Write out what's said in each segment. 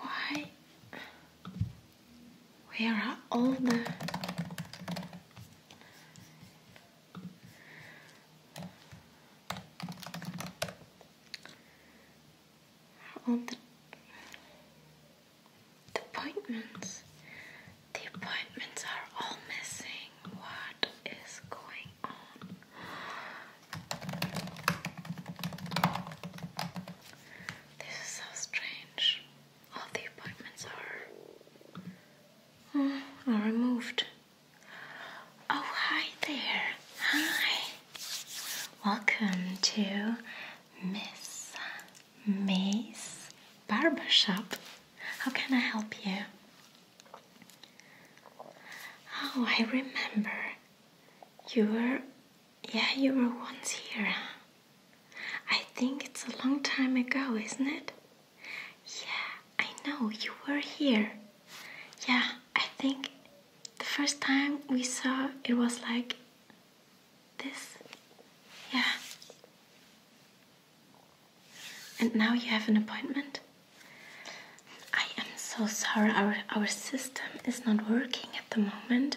Why? Where are all the. All the, appointments. The appointments are all missing. What is going on? This is so strange. All the appointments are, oh, are removed. Oh, hi there. Hi. Welcome to Miss May's Barbershop. How can I help you? Oh, I remember. You were, yeah, you were once here, I think it's a long time ago, isn't it? Yeah, I know, you were here. Yeah, I think the first time we saw it was like this. Yeah. And now you have an appointment? I am so sorry, our, our system is not working at the moment.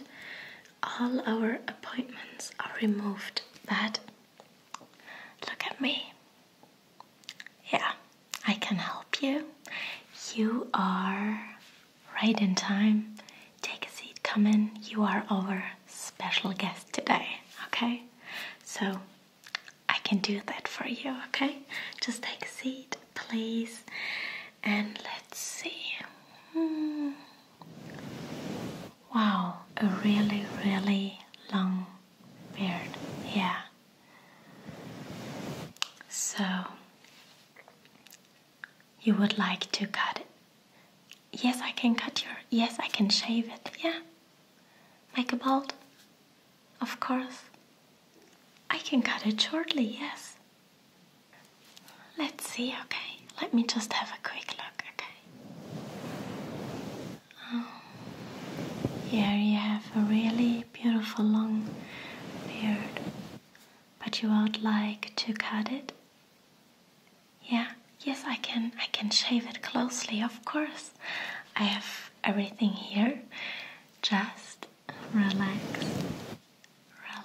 All our appointments are removed, but look at me. Yeah, I can help you. You are right in time. Take a seat, come in. You are our special guest today, okay? So I can do that for you, okay? Just take a seat, please. And let's see. Hmm. Wow, a really, really long beard. Yeah. So, you would like to cut it? Yes, I can cut your. Yes, I can shave it. Yeah. Make a bald? Of course, I can cut it shortly, yes. Let's see, okay? Let me just have a quick look, okay? Um, here you have a really beautiful long beard, but you would like to cut it? Yeah, yes, I can. I can shave it closely, of course. I have everything here. Just relax,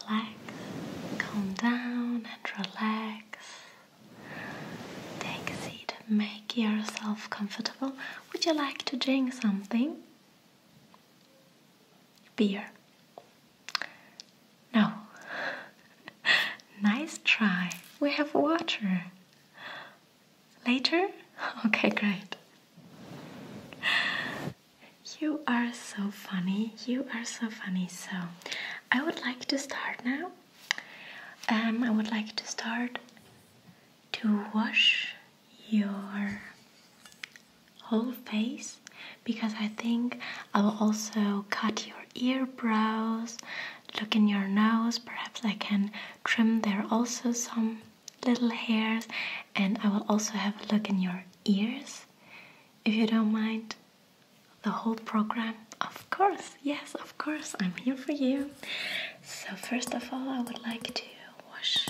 relax, calm down and relax. Take a seat, make yourself comfortable. Would you like to drink something? Beer. No. nice try. We have water. Later? Okay, great. You are so funny. You are so funny. So, I would like to start now. Um, I would like to start to wash your whole face because I think I will also cut your eyebrows, look in your nose, perhaps I can trim there also some little hairs and I will also have a look in your ears if you don't mind the whole program of course yes of course I'm here for you so first of all I would like to wash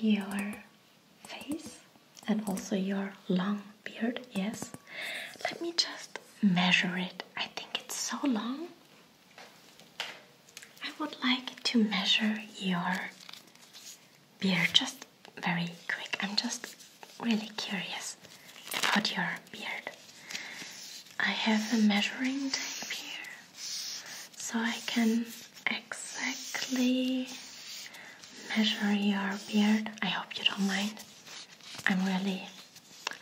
your face and also your long beard yes let me just measure it I think it's so long I would like to measure your beard just very quick. I'm just really curious about your beard. I have a measuring tape here so I can exactly measure your beard. I hope you don't mind. I'm really,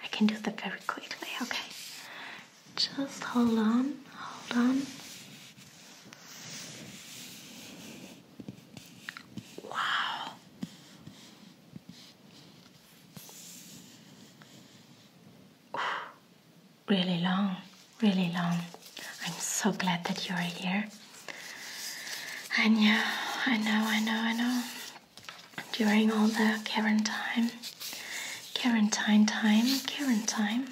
I can do that very quickly, okay? Just hold on, hold on. Wow. really long, really long. I'm so glad that you're here. I know, I know, I know, I know. During all the current time, Quarantine time, quarantine.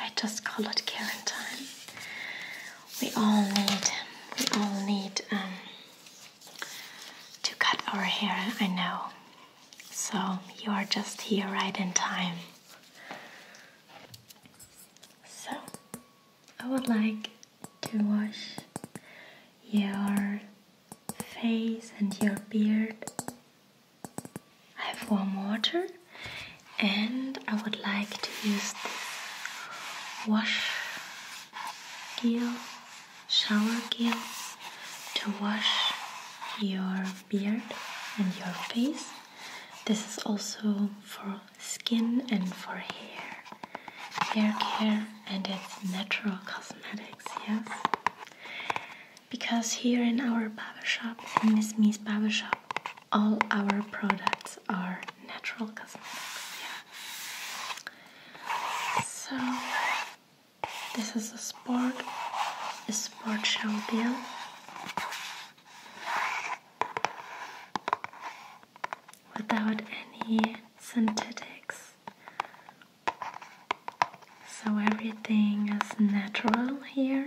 I just call it quarantine. We all need, we all need um, to cut our hair. I know. So you are just here right in time. So I would like to wash your face and your beard. I've warm water and I would like to use this wash gel, shower gel to wash your beard and your face. This is also for skin and for hair, hair care and it's natural cosmetics, yes because here in our barber shop, hmm. in Miss Me's barber shop, all our products are natural cosmetics. So this is a sport, a sport shampoo Without any synthetics so everything is natural here.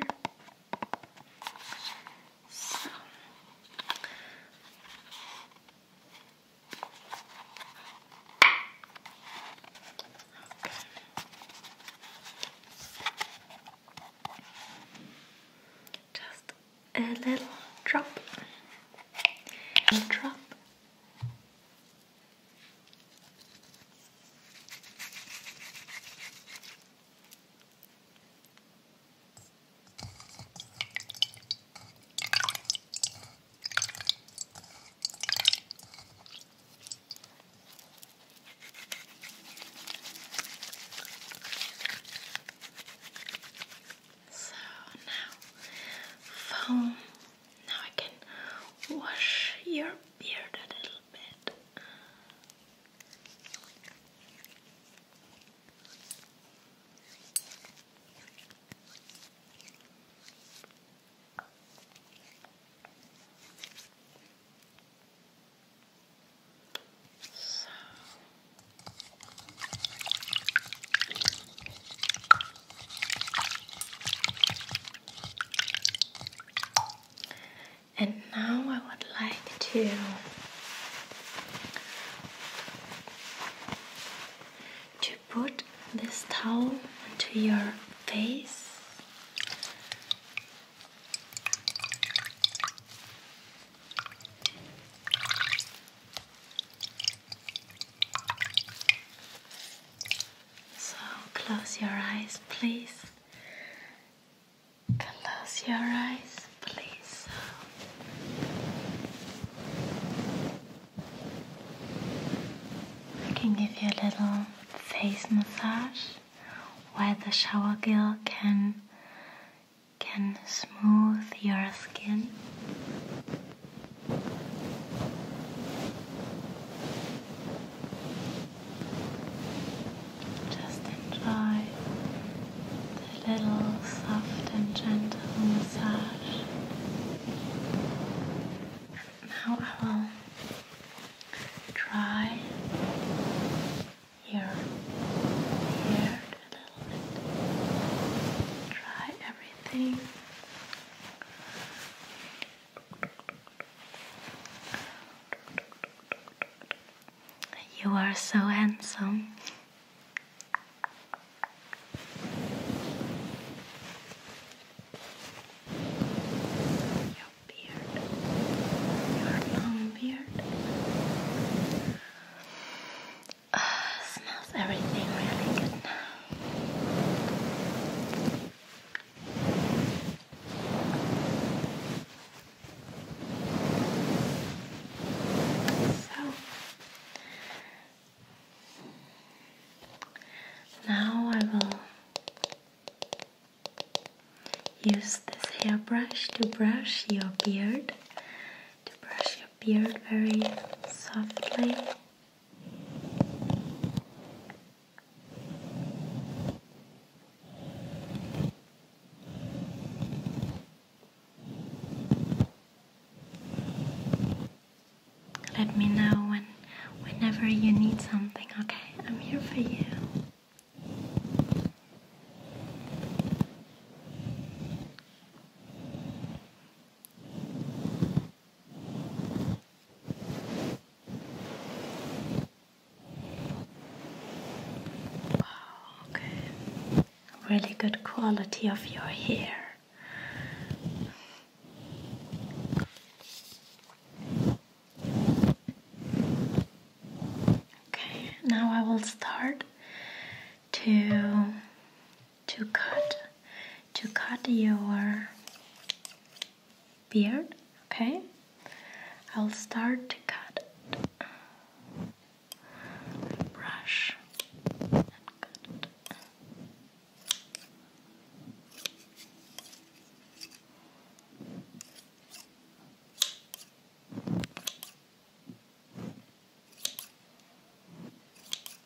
Just a little drop, a drop, so now foam now I can wash your beard a little bit. So. And now I would like to to put this towel into your face. So close your eyes, please. Close your eyes, please. I can give you a little face massage where the shower gel can can smooth your skin. Just enjoy the little soft and gentle massage. Now I will try your hair a little bit. Try everything you are so handsome. Your beard, your long beard, ah, smells everything really good so now I will use this hairbrush to brush your beard, to brush your beard very softly. Let me know when whenever you need something, okay? I'm here for you. Wow, okay. Really good quality of your hair. Okay, now I will start to to cut to cut your beard okay I'll start to cut brush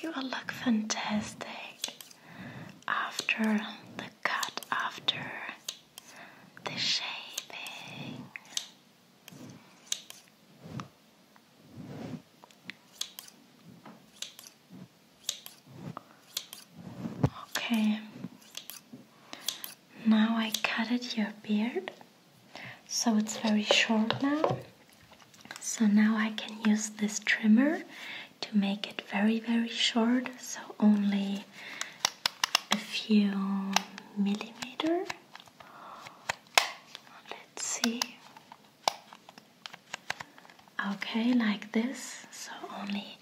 You will look fantastic after the cut, after the shaping. Okay, now I cutted your beard so it's very short now. So now I can use this trimmer to make it very very short so only a few millimeter let's see okay like this so only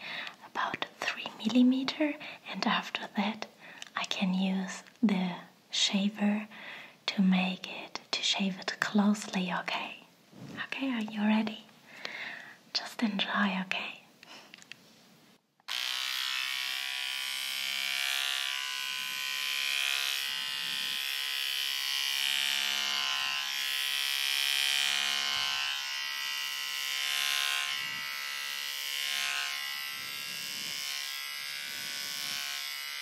about 3 millimeter and after that I can use the shaver to make it to shave it closely okay Okay, are you ready? Just enjoy, okay?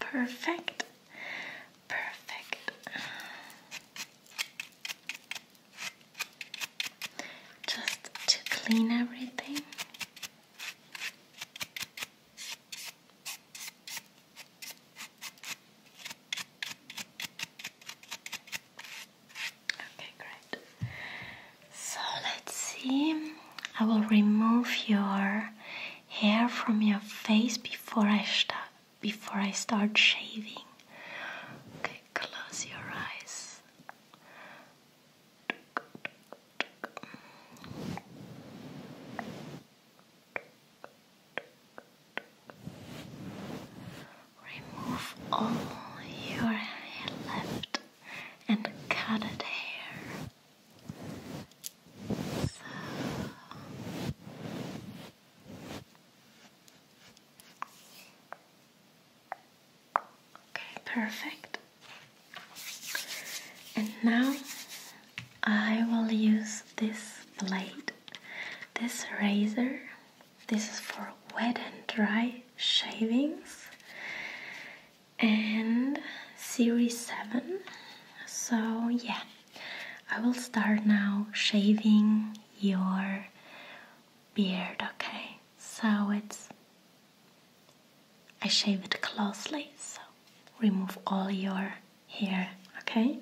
Perfect. Perfect. Just to clean everything. Okay, great. So let's see. I will remove your hair from your face before I start before I start shaving. Okay, close your eyes. Remove all your left and colored hair. Okay, perfect. And now I will use this blade, this razor. This is for wet and dry shavings and series 7. So, yeah, I will start now shaving your beard, okay? So it's I shave it closely, so remove all your hair, okay?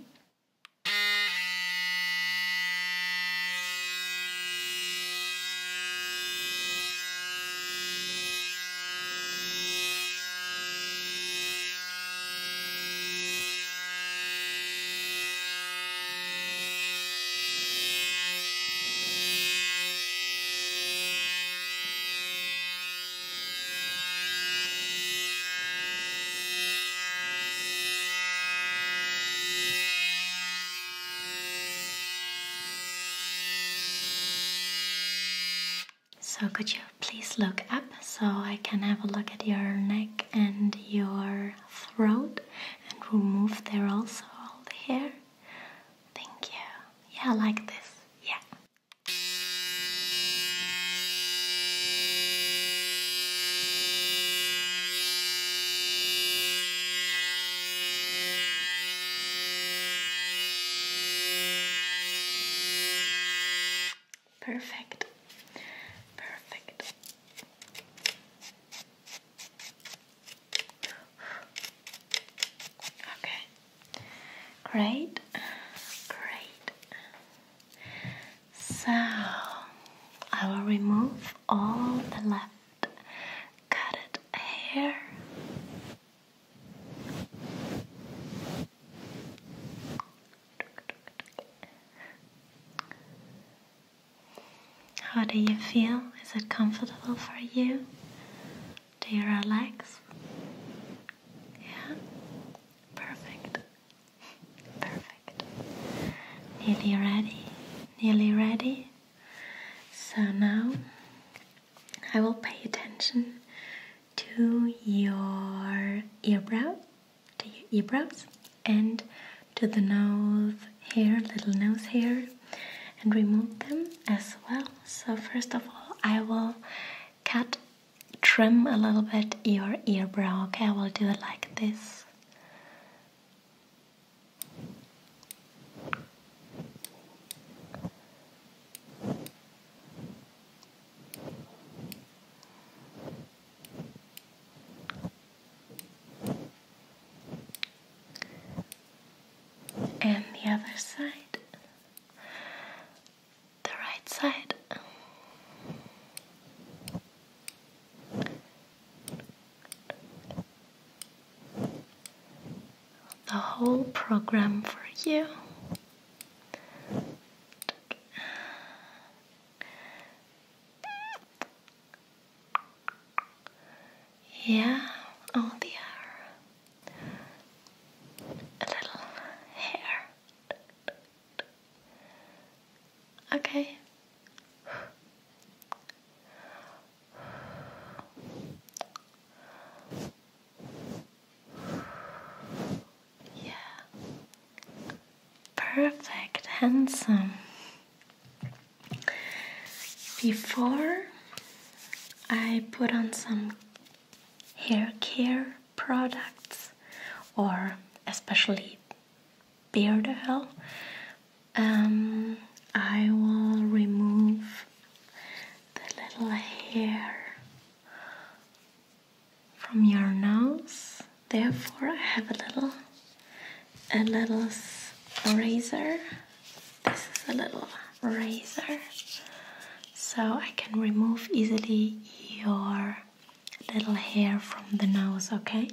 So could you please look up so I can have a look at your neck and your throat and remove there also all the hair? Thank you. Yeah, like this. Yeah. Perfect. Perfect. Okay. Great. Great. So I will remove all the left cutted hair. How do you feel? Is it comfortable for you? Do you relax? Yeah? Perfect. Perfect. Nearly ready. Nearly ready. So now I will pay attention to your eyebrow, to your eyebrows and to the nose here, little nose here, and remove them as well. So, first of all, I will cut, trim a little bit your eyebrow. Okay, I will do it like this and the other side, the right side. The whole program for you. Yeah, all the hair. A little hair. Okay. Yeah. Perfect, handsome. Before I put on some hair care products or especially beard oil, um, I will remove the little hair from your nose. Therefore, I have a little a little razor. This is a little razor, so I can remove easily your little hair from the nose, okay?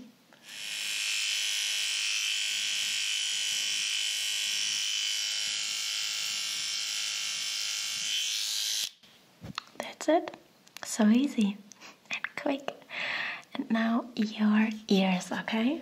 That's it. So easy and quick. And now your ears, okay?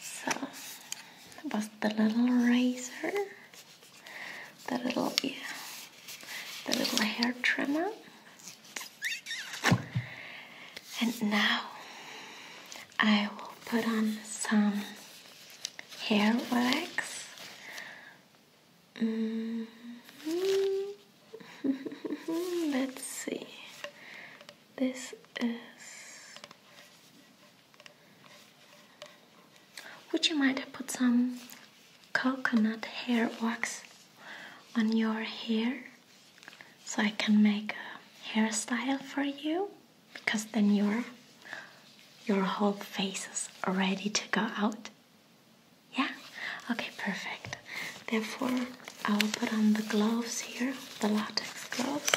So that was the little razor, the little yeah, the little hair trimmer, and now I will put on some hair wax. Mm-hmm. Let's see. This is would you mind put some coconut hair wax on your hair so I can make a hairstyle for you? Because then your your whole face is ready to go out. Yeah? Okay, perfect. Therefore I will put on the gloves here the latex gloves.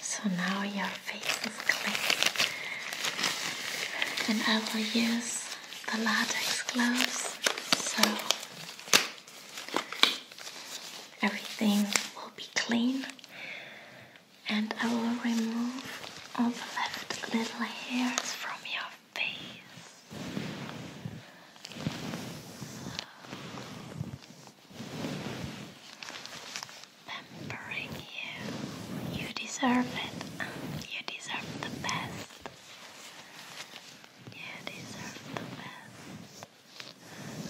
So now your face is clean, and I will use the latex gloves so everything will be clean and I will remove all the left little hairs from your face. Pampering you. You deserve it. You deserve the best. You deserve the best.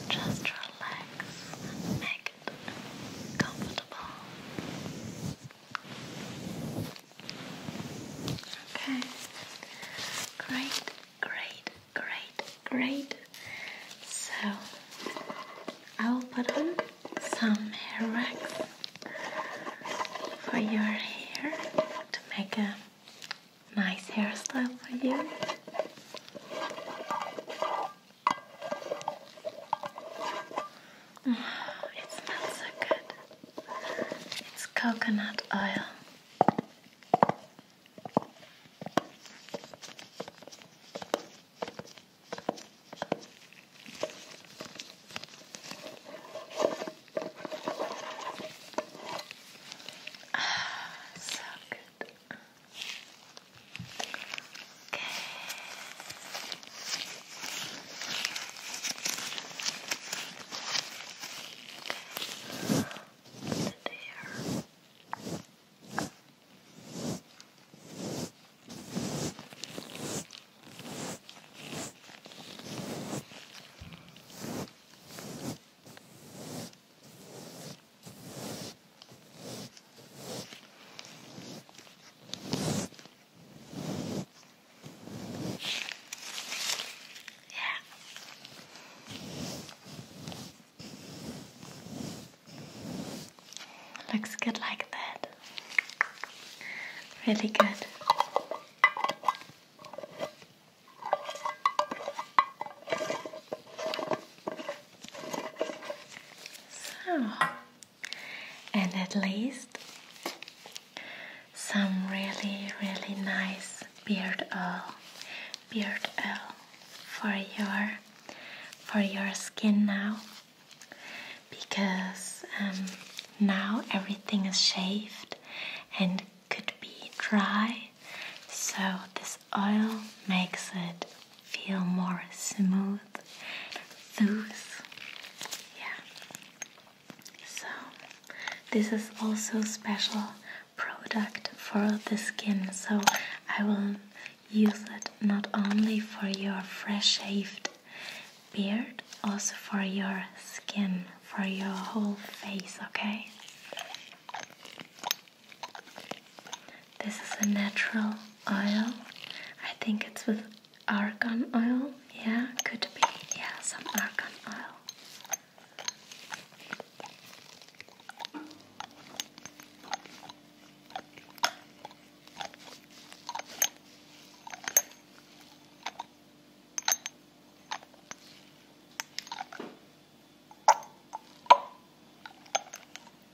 Just relax comfortable. Okay, great, great, great, great. So I will put on some hair wax for your hair to make a nice hairstyle for you. It smells so good. It's coconut oil. Ah, so good. Okay. Okay. There. Okay. Looks good like that. Really good. So, and at least some really, really nice beard oil, beard oil for your for your skin now, because um, now everything is shaved and could be dry. So this oil makes it feel more smooth, loose. Yeah. So, this is also special product for the skin. So, I will use it not only for your fresh shaved beard, also for your skin, for your whole face, okay? This is a natural oil. I think it's with argan oil. Yeah, could be. Yeah, some argan oil.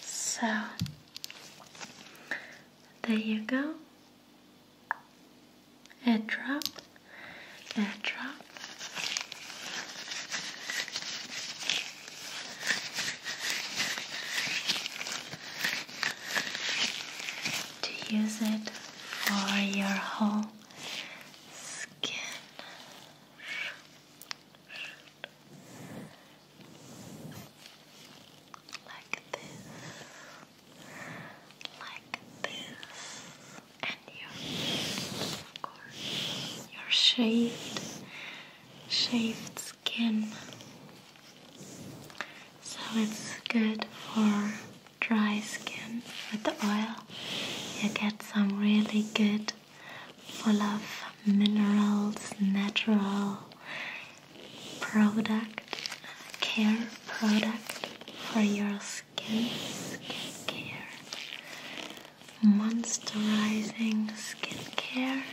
So there you go. Air drop, air drop. To use it for your whole skin like this, like this, and your, of course, your shaved, shaved skin. So it's good for dry skin with the oil. You get some really good full of minerals, natural product, care product for your skin, care, moisturizing skincare. Like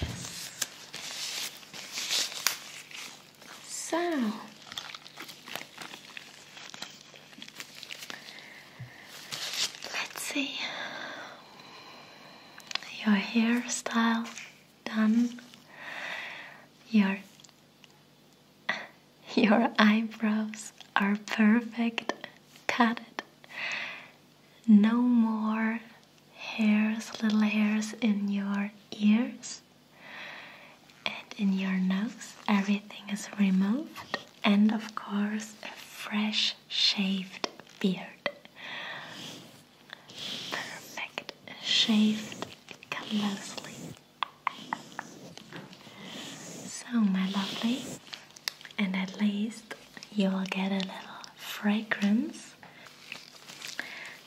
this. So, let's see your hairstyle done, your your eyebrows are perfect, cut it. No more hairs, little hairs in your ears. And in your nose, everything is removed, and of course, a fresh shaved beard. Perfect, shaved closely. So, my lovely, and at least you will get a little fragrance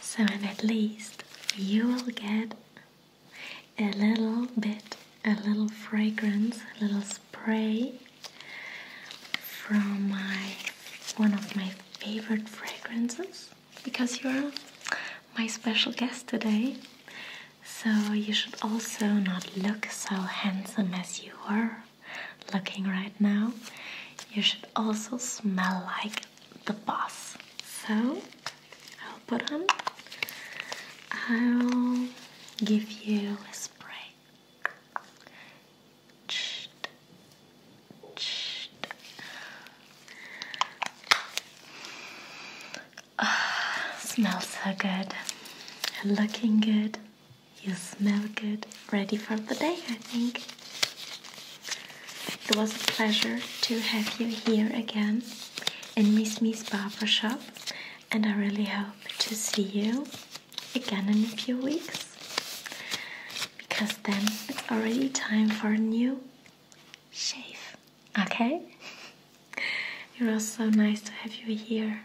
so, and at least you will get a little bit, a little fragrance, a little spray from my one of my favorite fragrances because you're my special guest today. So, you should also not look so handsome as you are looking right now. You should also smell like the boss. So I'll put on. I'll give you a spray. smells so good. looking good. You smell good. Ready for the day, I think. It was a pleasure to have you here again in Miss Miss Barber Shop, and I really hope to see you again in a few weeks because then it's already time for a new shave. Okay? It was so nice to have you here.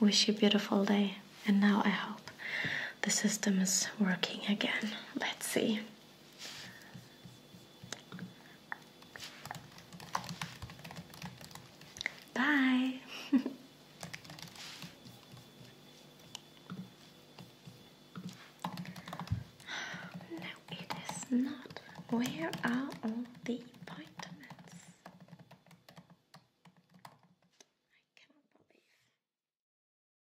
Wish you a beautiful day. And now I hope the system is working again. Let's see. Bye. no, it is not. Where are all the appointments? I cannot believe.